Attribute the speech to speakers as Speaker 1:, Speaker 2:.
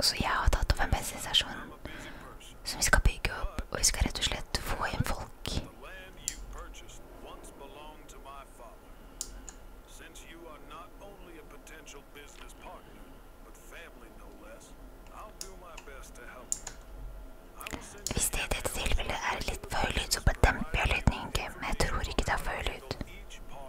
Speaker 1: Och så jag har tagit en bensinstation som vi ska bygga upp och vi ska rätt och slett få in folk. Hvis det i dette tilfellet er litt for høy lyd, så bedemper jeg lydningen, men jeg tror ikke det er for høy lyd.